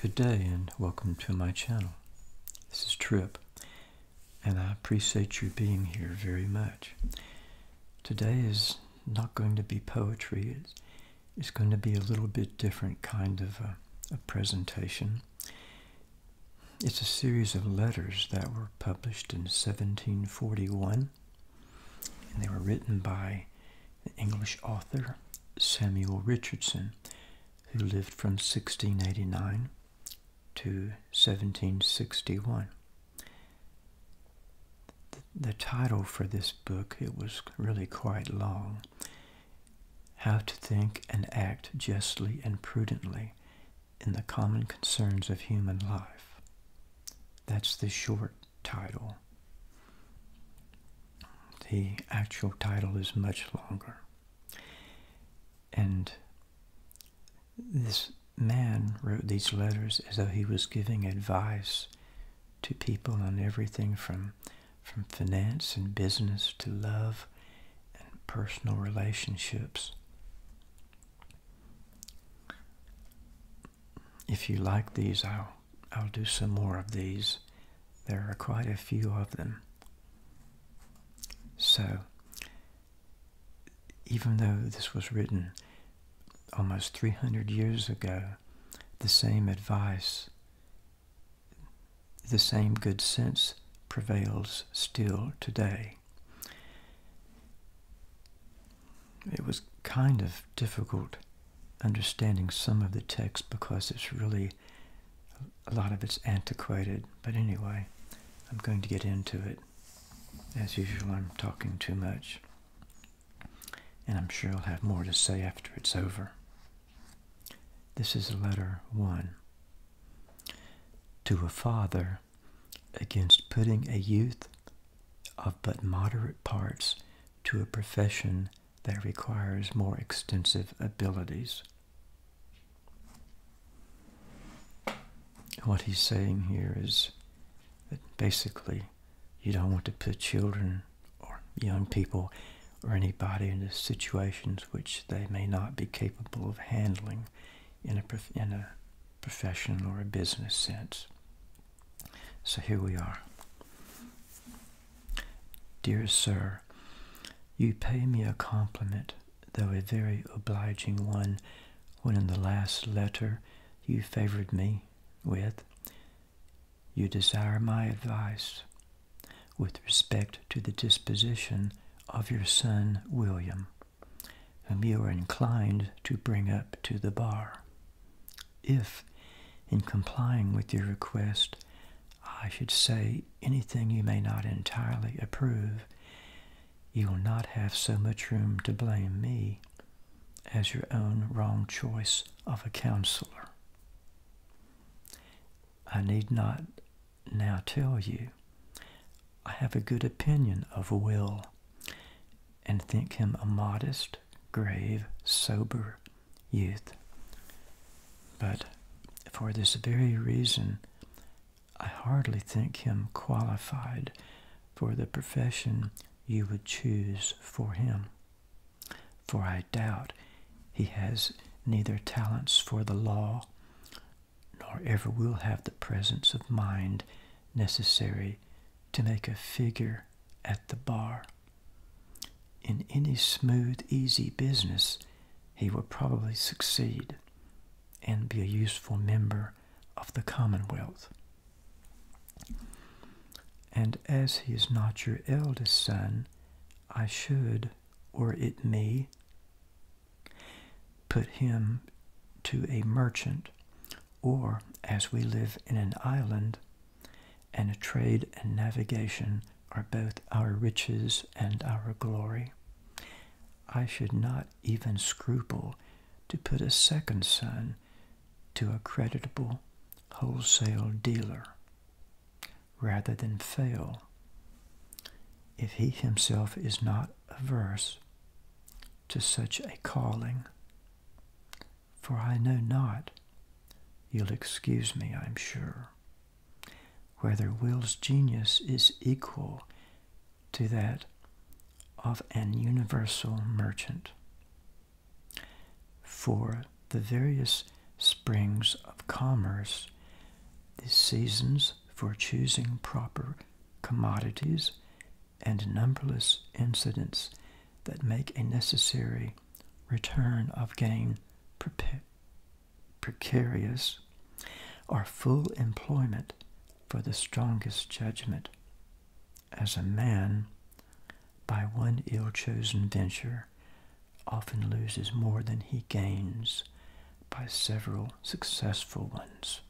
Good day and welcome to my channel. This is Trip and I appreciate you being here very much. Today is not going to be poetry. It's, going to be a little bit different kind of a presentation. It's a series of letters that were published in 1741 and they were written by the English author Samuel Richardson, who lived from 1689 to 1761. the title for this book, it was really quite long, How to Think and Act Justly and Prudently in the Common Concerns of Human Life. That's the short title. The actual title is much longer. And this man wrote these letters as though he was giving advice to people on everything from, from finance and business to love and personal relationships if you like these, I'll, I'll do some more of these. There are quite a few of them. So, even though this was written almost 300 years ago, the same advice, the same good sense prevails still today it was kind of difficult understanding some of the text because it's really a lot of it's antiquated. But anyway, I'm going to get into it. As usual, I'm talking too much. And I'm sure I'll have more to say after it's over. This is letter one. To a father against putting a youth of but moderate parts to a profession that requires more extensive abilities. What he's saying here is that basically you don't want to put children or young people or anybody into situations which they may not be capable of handling in a, in a professional or a business sense. So here we are. Dear Sir, you pay me a compliment, though a very obliging one, when in the last letter you favored me with, you desire my advice with respect to the disposition of your son William, whom you are inclined to bring up to the bar. If, in complying with your request, I should say anything you may not entirely approve, you will not have so much room to blame me as your own wrong choice of a counselor. I need not now tell you I have a good opinion of Will and think him a modest grave, sober youth. But for this very reason, I hardly think him qualified for the profession you would choose for him. For I doubt he has neither talents for the law, nor ever will have the presence of mind necessary to make a figure at the bar. In any smooth, easy business, he would probably succeed and be a useful member of the Commonwealth. And as he is not your eldest son, I should, or it me, put him to a merchant, or, as we live in an island, and trade and navigation are both our riches and our glory. I should not even scruple to put a second son to a creditable wholesale dealer rather than fail if he himself is not averse to such a calling for I know not. You'll excuse me, I'm sure, whether Will's genius is equal to that of an universal merchant. For the various springs of commerce, the seasons for choosing proper commodities, and numberless incidents that make a necessary return of gain precarious or full employment for the strongest judgment as a man by one ill-chosen venture often loses more than he gains by several successful ones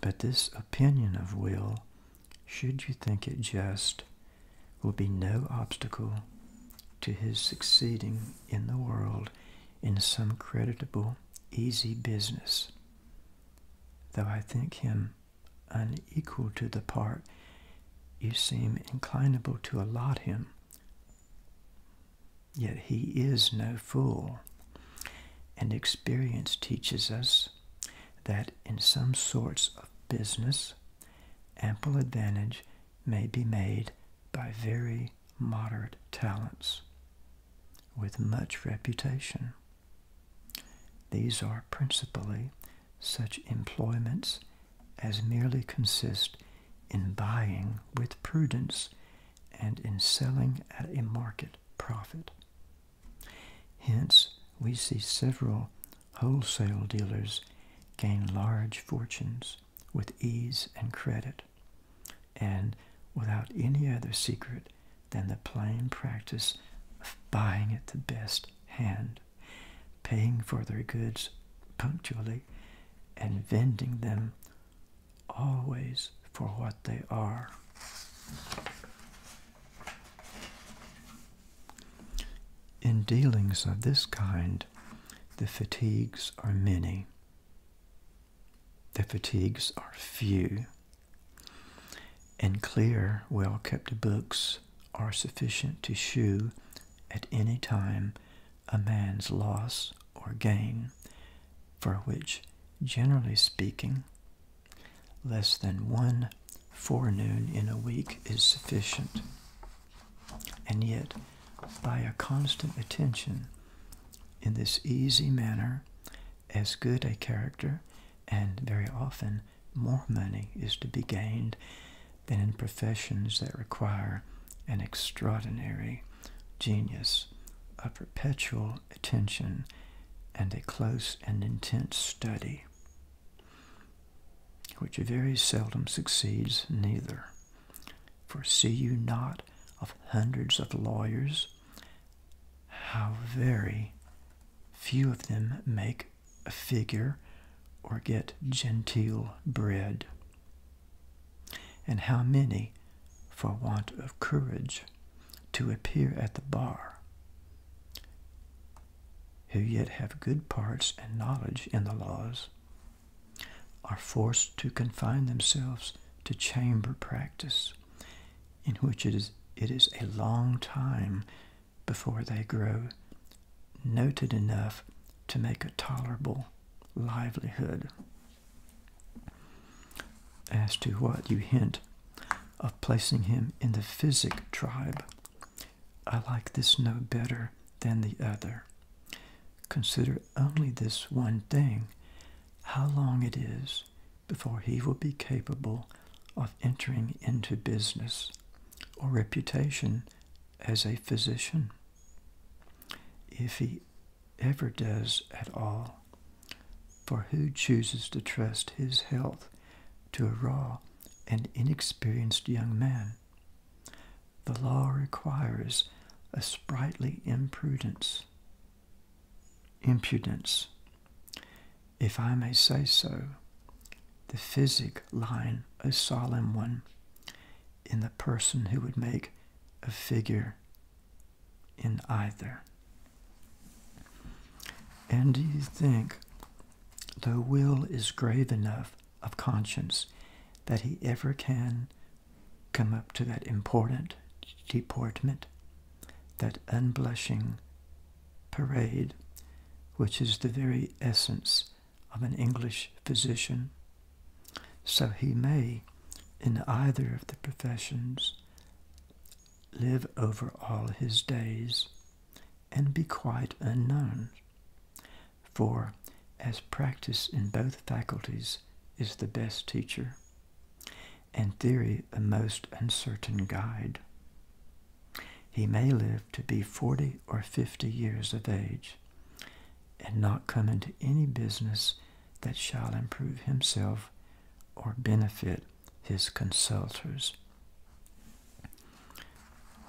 but this opinion of will, should you think it just, will be no obstacle to his succeeding in the world in some creditable, easy business, though I think him unequal to the part you seem inclinable to allot him. Yet he is no fool, and experience teaches us that in some sorts of business, ample advantage may be made by very moderate talents with much reputation. These are principally such employments as merely consist in buying with prudence and in selling at a market profit. Hence, we see several wholesale dealers gain large fortunes with ease and credit, and without any other secret than the plain practice of buying at the best hand, paying for their goods punctually, and vending them always for what they are. In dealings of this kind, the fatigues are many. The fatigues are few. And clear, well kept books are sufficient to shew at any time a man's loss or gain, for which, generally speaking, Less than one forenoon in a week is sufficient. And yet, by a constant attention in this easy manner, as good a character and very often more money is to be gained than in professions that require an extraordinary genius, a perpetual attention, and a close and intense study which very seldom succeeds neither. For see you not of hundreds of lawyers, how very few of them make a figure or get genteel bread, and how many for want of courage to appear at the bar, who yet have good parts and knowledge in the laws, are forced to confine themselves to chamber practice, in which it is, it is a long time before they grow noted enough to make a tolerable livelihood. As to what you hint of placing him in the physic tribe. I like this no better than the other. Consider only this one thing, how long it is before he will be capable of entering into business or reputation as a physician. If he ever does at all, for who chooses to trust his health to a raw and inexperienced young man. The law requires a sprightly imprudence, impudence, if I may say so, the physic line a solemn one in the person who would make a figure in either. And do you think the will is grave enough of conscience that he ever can come up to that important deportment, that unblushing parade, which is the very essence of an English physician? So he may, in either of the professions, live over all his days and be quite unknown. For as practice in both faculties is the best teacher, and theory a most uncertain guide, he may live to be forty or fifty years of age, and not come into any business that shall improve himself or benefit his consulters.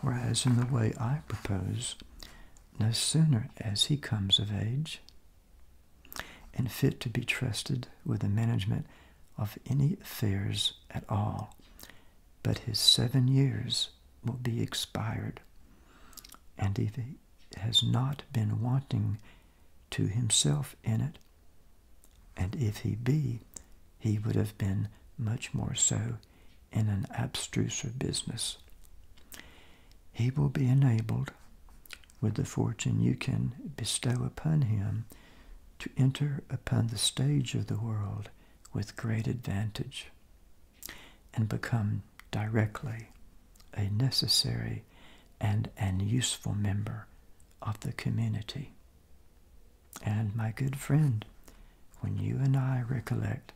Whereas in the way I propose, no sooner as he comes of age and fit to be trusted with the management of any affairs at all, but his seven years will be expired, and if he has not been wanting to himself in it, and if he be, he would have been much more so in an abstruser business. He will be enabled, with the fortune you can bestow upon him, to enter upon the stage of the world with great advantage and become directly a necessary and an useful member of the community. And my good friend, when you and I recollect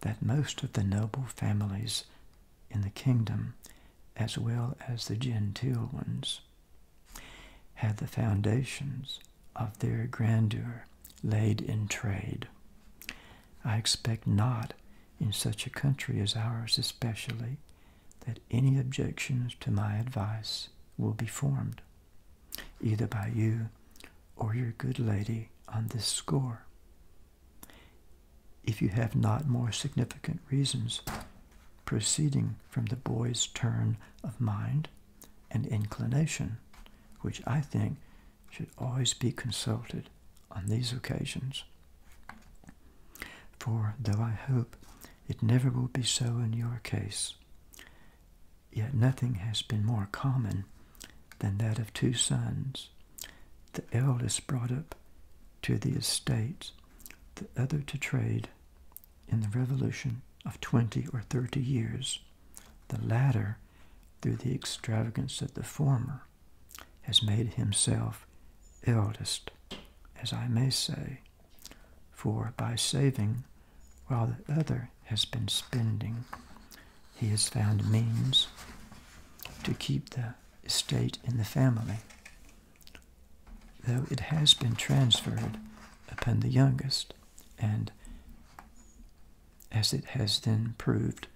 that most of the noble families in the kingdom, as well as the genteel ones, had the foundations of their grandeur laid in trade. I expect not in such a country as ours especially that any objections to my advice will be formed, either by you or your good lady on this score. If you have not more significant reasons proceeding from the boy's turn of mind and inclination, which I think should always be consulted on these occasions. For though I hope it never will be so in your case. Yet nothing has been more common than that of two sons, the eldest brought up to the estate, the other to trade in the revolution of 20 or 30 years. The latter, through the extravagance of the former, has made himself eldest, as I may say, for by saving, while the other has been spending, he has found means to keep the estate in the family, though it has been transferred upon the youngest, and as it has then proved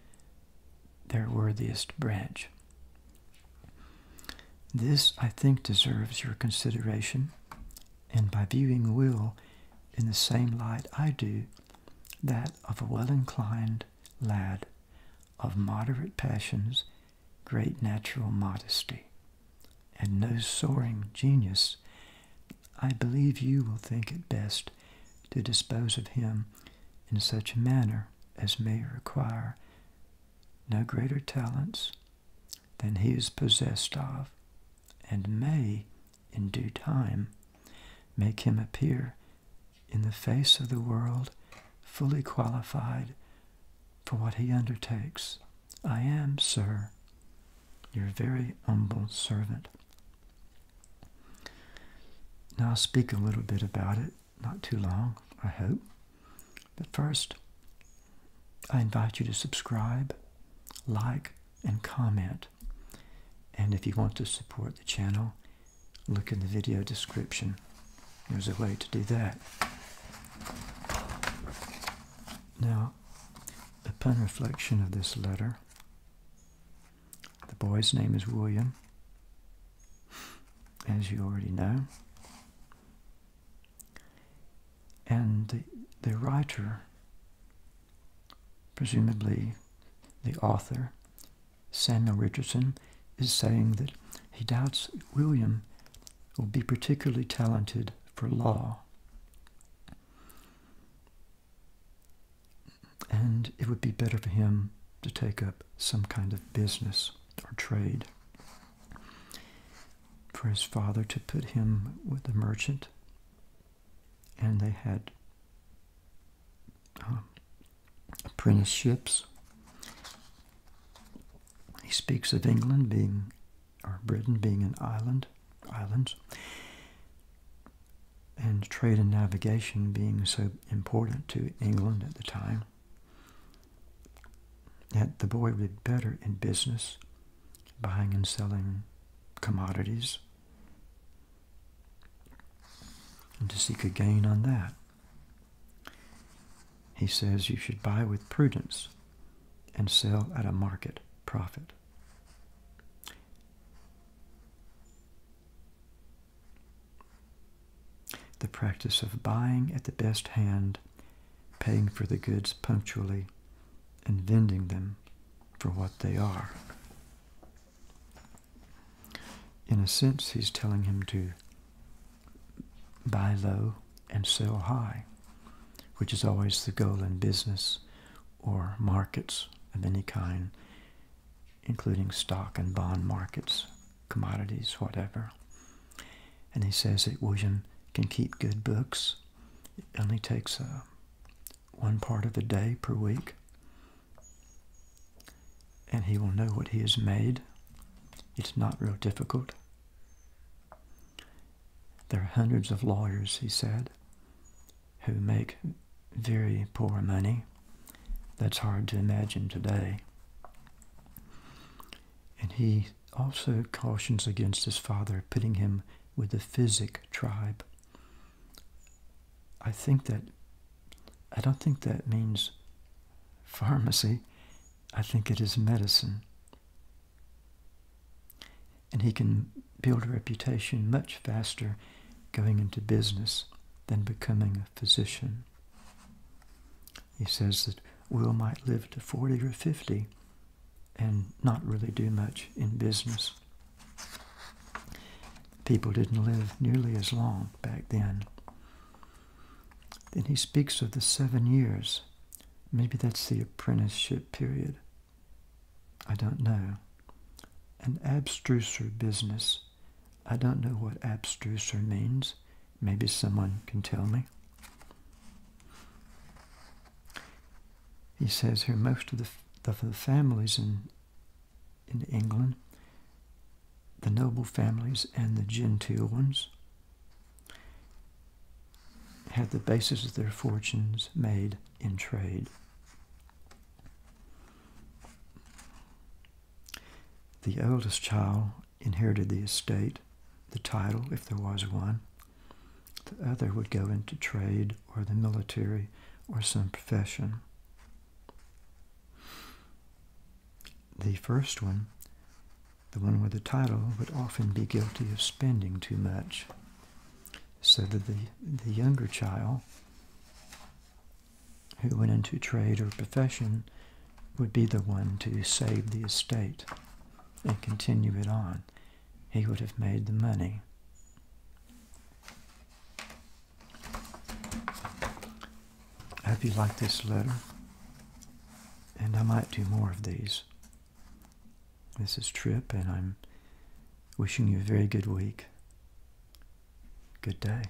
their worthiest branch. This, I think, deserves your consideration, and by viewing will in the same light I do, that of a well-inclined lad of moderate passions, great natural modesty, and no soaring genius, I believe you will think it best to dispose of him in such a manner as may require no greater talents than he is possessed of, and may, in due time, make him appear in the face of the world fully qualified for what he undertakes. I am, sir, your very humble servant. Now speak a little bit about it, not too long, I hope. But first, I invite you to subscribe, like, and comment. And if you want to support the channel, look in the video description. There's a way to do that. Now, upon reflection of this letter, the boy's name is William, as you already know and the, writer, presumably the author, Samuel Richardson, is saying that he doubts William will be particularly talented for law. And it would be better for him to take up some kind of business or trade for his father to put him with a merchant, and they had um, apprenticeships. He speaks of England being, or Britain being an island, islands, and trade and navigation being so important to England at the time. That the boy did better in business, buying and selling commodities, and to seek a gain on that. He says you should buy with prudence and sell at a market profit. The practice of buying at the best hand paying for the goods punctually, and vending them for what they are. In a sense, he's telling him to buy low and sell high, which is always the goal in business or markets of any kind, including stock and bond markets, commodities, whatever. And he says that William can keep good books. It only takes uh, one part of a day per week. And he will know what he has made. It's not real difficult. There are hundreds of lawyers, he said, who make very poor money. That's hard to imagine today. And he also cautions against his father pitting him with the Physic tribe. I think that, I don't think that means pharmacy. I think it is medicine. And he can build a reputation much faster going into business than becoming a physician. He says that Will might live to 40 or 50 and not really do much in business. People didn't live nearly as long back then. Then he speaks of the seven years. Maybe that's the apprenticeship period. I don't know. An abstruser business. I don't know what abstruser means. Maybe someone can tell me. He says here most of the, families in, in England, the noble families and the genteel ones, had the basis of their fortunes made in trade. The eldest child inherited the estate, the title, if there was one. The other would go into trade or the military or some profession. The first one, the one with the title, would often be guilty of spending too much, so that the, the younger child who went into trade or profession would be the one to save the estate and continue it on, he would have made the money. I hope you like this letter, and I might do more of these. This is Trip, and I'm wishing you a very good week. Good day.